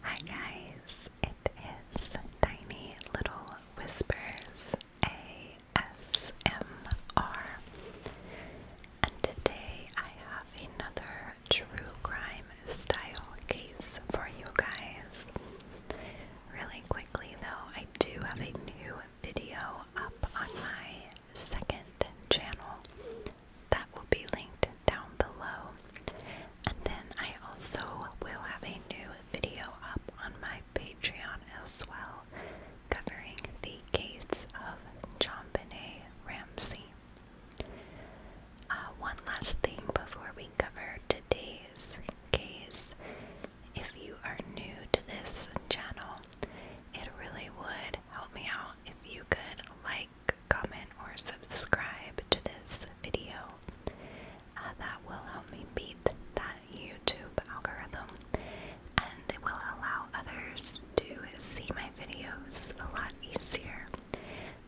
Hi guys, it is Tiny Little Whispers ASMR, and today I have another true crime style case for you guys. Really quickly, though, I do have a new video up on my second channel that will be linked down below. And then I also will have a new video up on my Patreon as well, covering the case of JonBenet Ramsey. Uh, one last thing before we cover today's case. If you are new to this channel, it really would help me out if you could like like, comment, or subscribe to this video. Uh, that will help me beat that YouTube algorithm and it will allow others to see my videos a lot easier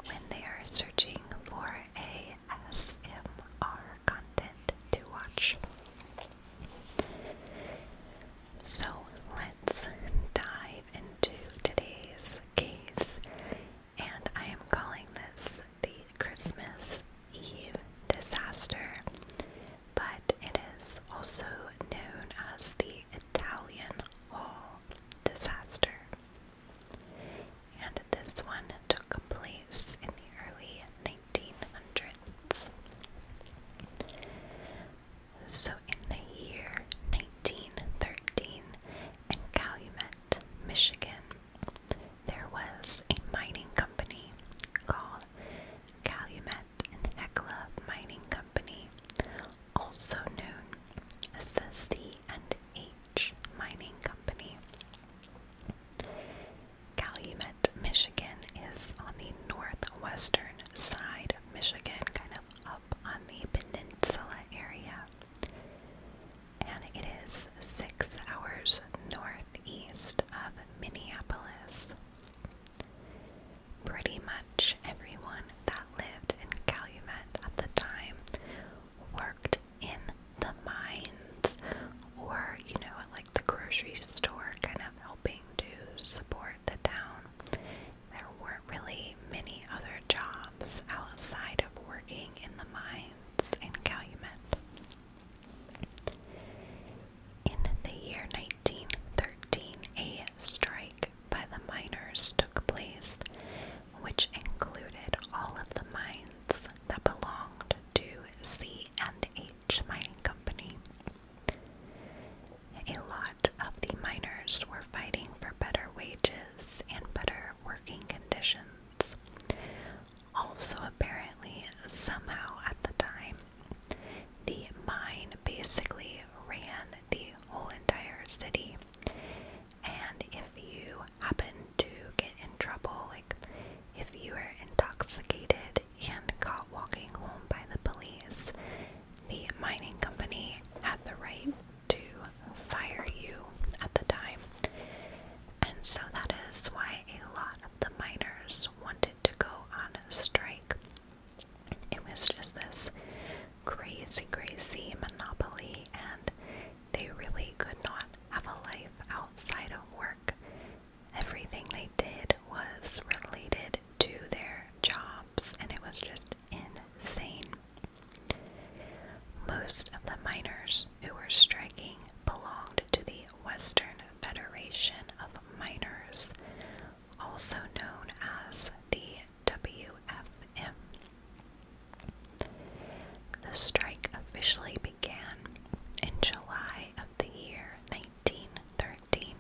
when they are searching for ASMR content to watch. So let's dive into today's case, and I am calling this the Christmas Eve disaster, but it is also known as the Italian Hall disaster. And this one took place in the early 1900s. So in the year 1913 in Calumet, Michigan, there was a mining company called Calumet and Hecla Mining Company, also known as the C&H Mining Company. Calumet, Michigan is on the northwestern side of Michigan, kind of up top on the peninsula area, and it is six hours northeast of Minneapolis. Pretty much everyone that lived in Calumet at the time worked in the mines or, you know, at like the grocery store, kind of helping to support the town. There weren't really many other jobs outside of working in the mines in Calumet. In the year 1913, a strike by the miners took place, which included all of the mines that belonged to C and H Mining Company. A lot of the miners were fighting for better wages and better working conditions. Also, apparently, somehow at the time, the mine basically ran the whole entire city. And if you happened to get in trouble, like if you were intoxicated and caught walking home by the police, the mining company had the right to fire you at the time. And so that is why a lot of the miners wanted to go on a strike. It was just this crazy, crazy monopoly, and they really could not have a life outside of work. Everything they did was related to their jobs, and it was just insane. Most of the miners who were striking belonged to the Western Federation of Miners, also known as the WFM. The strike officially began in July of the year 1913.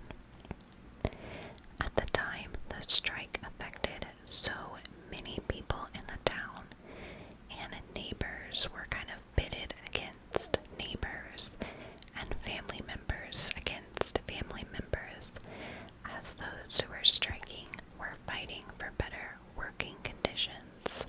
At the time, the strike affected so many people in the town, and neighbors were kind of pitted against neighbors and family members against family members, as those who were striking were fighting for better working conditions.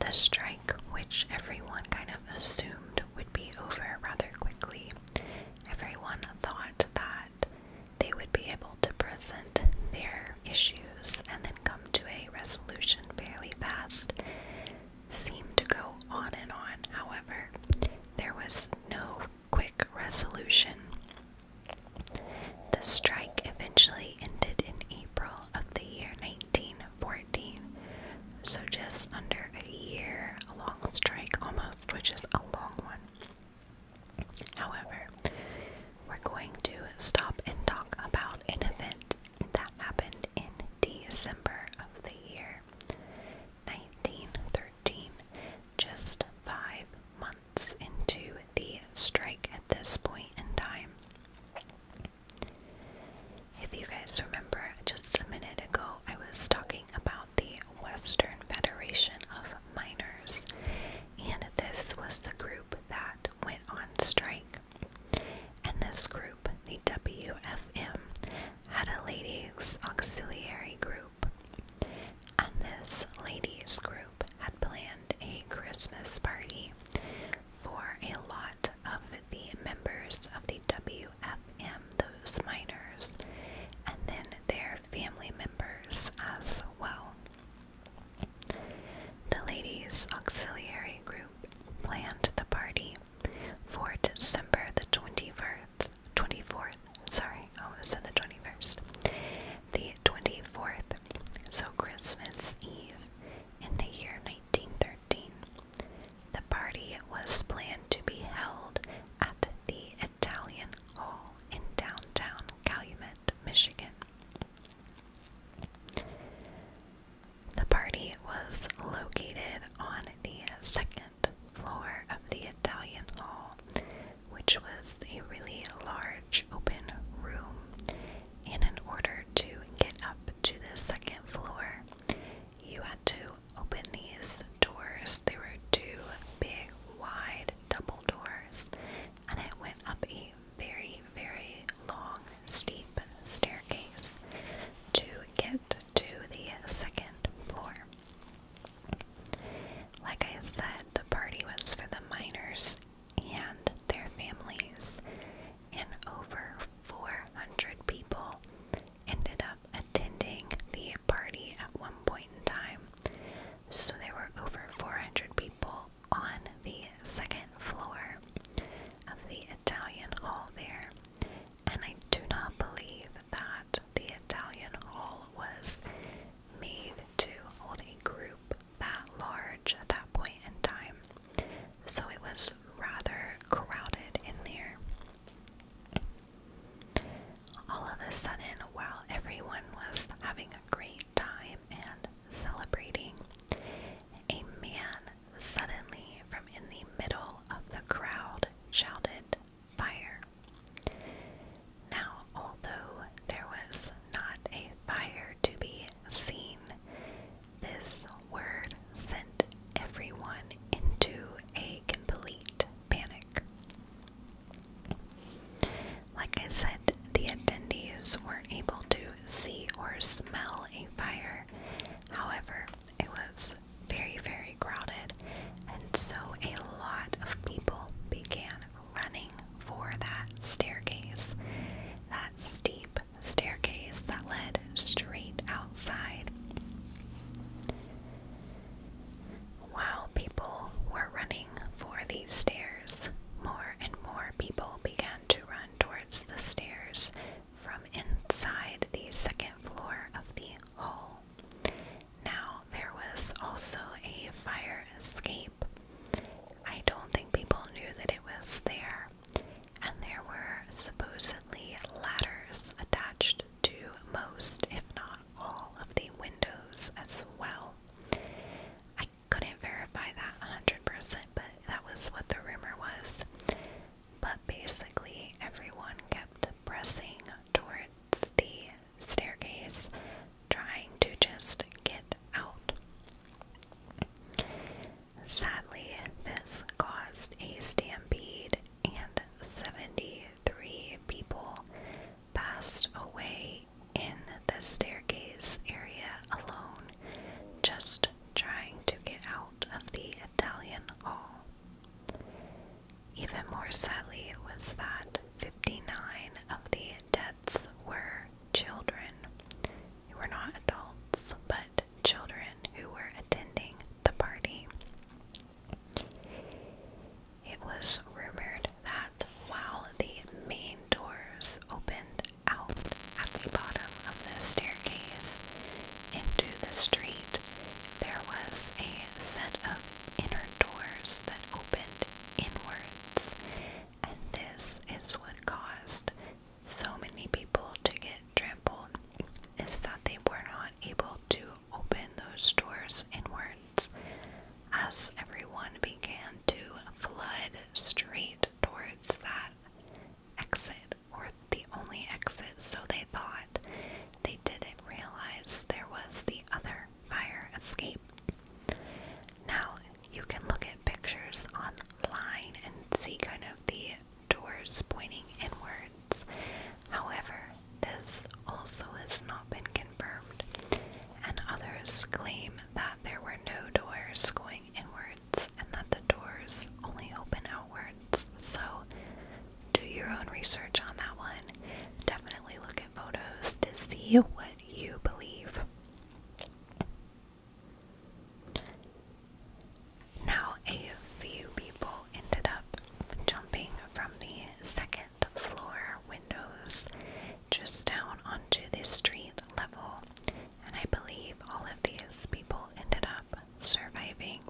The strike, which everyone kind of assumed would be over rather quickly, everyone thought that they would be able to present their issues and then come to a resolution fairly fast, seemed to go on and on. However, there was no quick resolution. The strike eventually ended in April of the year 1914, so just under a year, a long strike almost, which is a long one. However, we're going to stop and talk about an event that happened in December of the year 1913, just five months into the strike at this point in time. If you guys remember, just a minute ago, I was talking about the Western Federation of Miners, and this was the group that went on strike. And this group, the WFM, had a ladies' auxiliary group. And this ladies' group group had planned a Christmas party for a lot of the members of the WFM, those miners, and then their family members as well. The ladies' auxiliary group planned the party for December the 21st, 24th, sorry, oh, it was the 21st, the 24th, so Christmas Eve, in the year 1913. The party was planned to be held at the Italian Hall in downtown Calumet, Michigan. The party was located on the second floor of the Italian Hall, which was a really large large open room, and in order to get up to the second floor, you had to open these doors. They were two big, wide double doors, and it went up a very, very long, steep staircase to get to the second floor. Like I said, the party was for the miners and their families, and over 400 people ended up attending the party at one point in time. So there were over 400 people on the second floor of the Italian Hall there, and I do not believe that the Italian Hall was made to hold a group that large at that point in time. So it was rather crowded in there. All of a sudden, while everyone was having a great time and celebrating, a man suddenly from in the middle of the crowd shouted, fire. Now, although there was not a fire to be seen, this word sent everyone into a complete panic. Like I said, the attendees weren't able to see or smell a fire. However, it was very, very crowded, and so a lot of people began running for that staircase, that steep staircase that led straight outside. While people were running for these stairs, more and more people began to run towards the stairs from inside the second floor of the hall. Now, there was also a fire escape. I don't think people knew that it was there, and there were supposedly ladders attached to most, if not all, of the windows as well. I couldn't verify that 100%, but that was what the rumor was. But basically, everyone kept pressing towards the staircase trying to just get out. Sadly, this caused a stampede and 73 people passed away in the staircase area alone just trying to get out of the Italian Hall. Even more sadly was that 59 of the deaths were children who were not adults, but children who were attending the party. It was rumored that while the main doors opened out at the bottom of the staircase into the street, there was a set of inner doors that opened inwards, and this is what caused so many people to get trampled is that they were not able to open those doors inwards as everyone began to flood straight towards that exit or the only exit so they thought they didn't realize there was the other fire escape. Now you can look at pictures online and see kind of the doors pointing inwards. However, this also has not been confirmed, and others claim that there were no doors going inwards and that the doors only open outwards. So do your own research on that one. Definitely look at photos to see what you believe. Now, a few people ended up jumping from the second floor windows just down onto the street level, and I believe all of these people ended up surviving.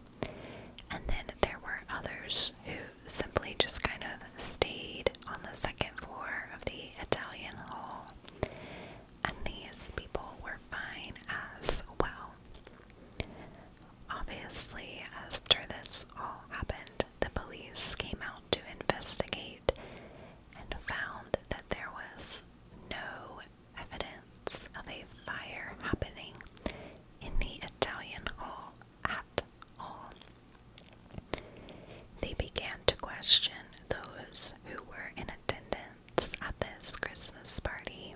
And then there were others who simply just kind of stayed on the second floor of the Italian Hall, and these people were fine as well. Obviously, after this all happened, the police came out to investigate and found that there was no evidence of a fire happening in the Italian Hall at all. They began to question those who were in attendance at this Christmas party,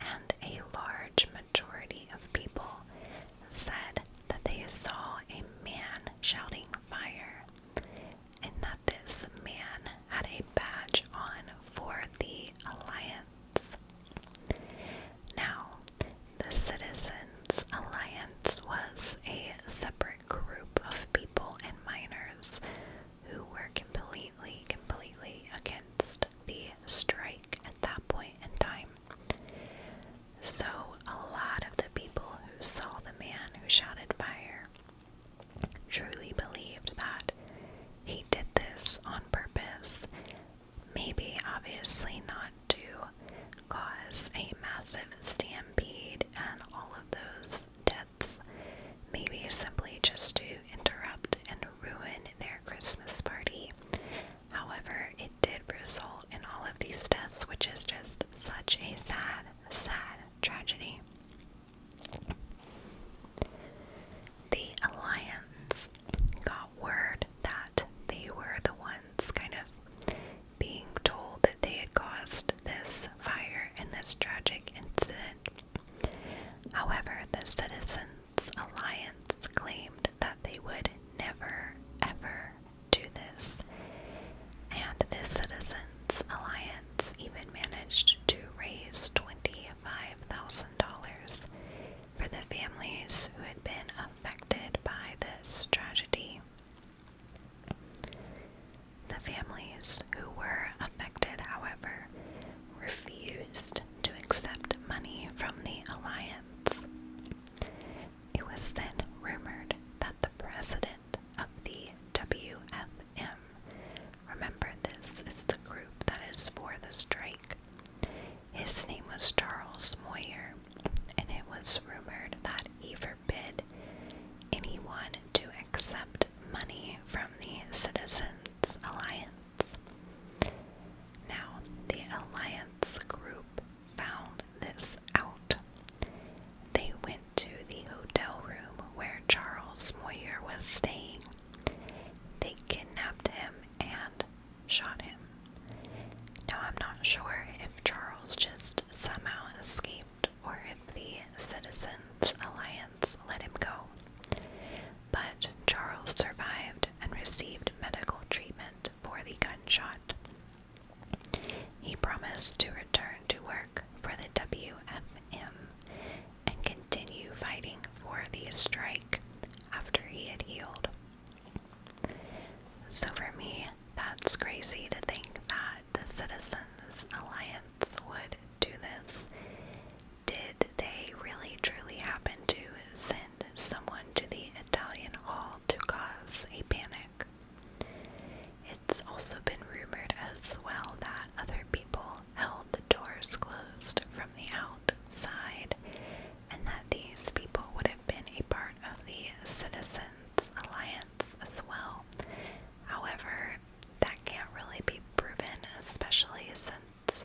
and a large majority of people said that they saw a man shouting fire and that this man had a badge on for the Alliance. Now, the Citizens' Alliance was a separate group of people and miners who were completely, completely against the strike at that point in time. So, a lot of the people who saw the man who shouted fire truly believed that he did this on purpose maybe obviously not to cause a massive stampede and all of those deaths, maybe simply just to interrupt and ruin their Christmas party. However, it did result in all of these deaths, which is just such a sad, sad tragedy the Alliance got word that they were the ones kind of being told that they had caused this fire and this tragic incident. However, the Citizens Alliance claimed that they would never, ever do this. And this Citizens Alliance even managed to raise 25000 dollars for the families who had been affected by this tragedy. The families who were affected, however, refused to accept money from the alliance. It was then rumored that the president of the WFM, remember this is the group that is for the strike, his name was Charles Moyer, and it was rumored that he forbid anyone to accept money from the Citizens Alliance. Now, the Alliance group found this out. They went to the hotel room where Charles Moyer was staying they kidnapped him and shot him. Now, I'm not sure if Charles just somehow escaped or if the Citizens Alliance let him go, but Charles survived and received medical treatment for the gunshot. He promised to return to work for the WFM and continue fighting for the strike after he had healed. So, for me, that's crazy to think that the Citizens Alliance would do this. Did they really truly happen to send someone to the Italian Hall to cause a panic? It's also been rumored as well that other people held doors closed from the outside, and that these people would have been a part of the Citizens Alliance as well. However, that can't really be proven, especially since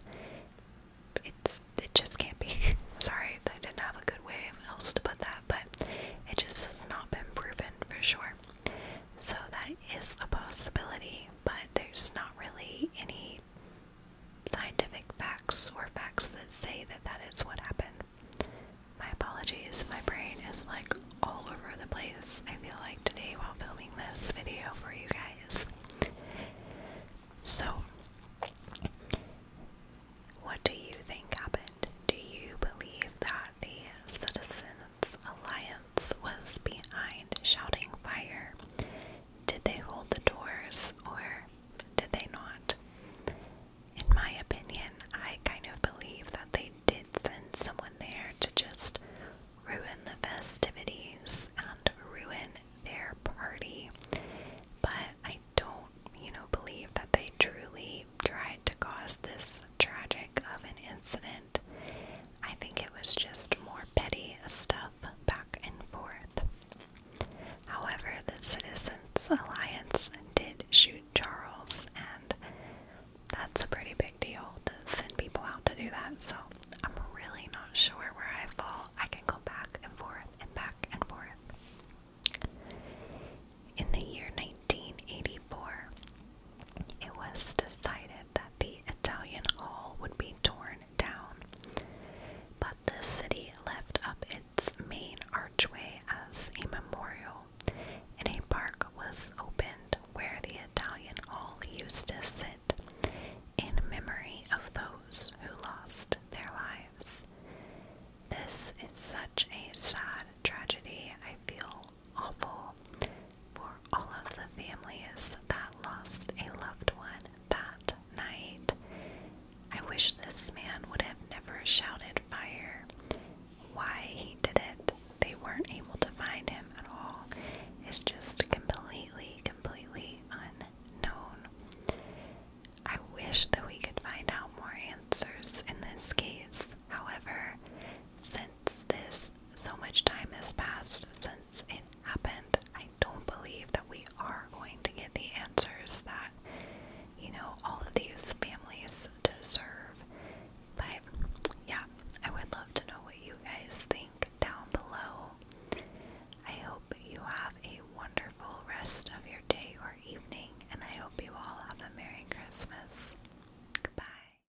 it's it just can't be. Sorry, I didn't have a good way else to put that, but it just has not been proven for sure. So that is a possibility but there's not really any scientific facts or facts that say that that is what happened. My apologies, my brain is like all over the place. I feel like today while filming this video for you guys. So, what do you think happened? Do you believe that the Citizens Alliance? was behind shouting fire. Did they hold the doors or did they not? In my opinion, I kind of believe that they did send someone there to just ruin the festivities and ruin their party. But I don't, you know, believe that they truly tried to cause this tragic of an incident. I think it was just more petty stuff back and forth. However, the Citizens Alliance did shoot Charles, and that's a pretty big deal to send people out to do that, so I'm really not sure where I fall. I can go back and forth and back and forth. In the year 1984, it was decided that the Italian hall would be torn down, but the city left up its main archway as a memorial, and a park was opened where the Italian hall used to sit in memory of those who lost their lives. This is such a sad tragedy. I feel awful for all of the families that lost a loved one that night. I wish this man would have never shouted fire. Why he did it, they weren't able to find him at all. It's just completely, completely unknown. I wish that we could find out more answers in this case. However, since this, so much time has passed since it happened. I don't believe that we are going to get the answers that, you know, all of these families deserve. But yeah, I would love to know what you guys think down below. I hope you have a wonderful rest of your day or evening, and I hope you all have a Merry Christmas. Goodbye.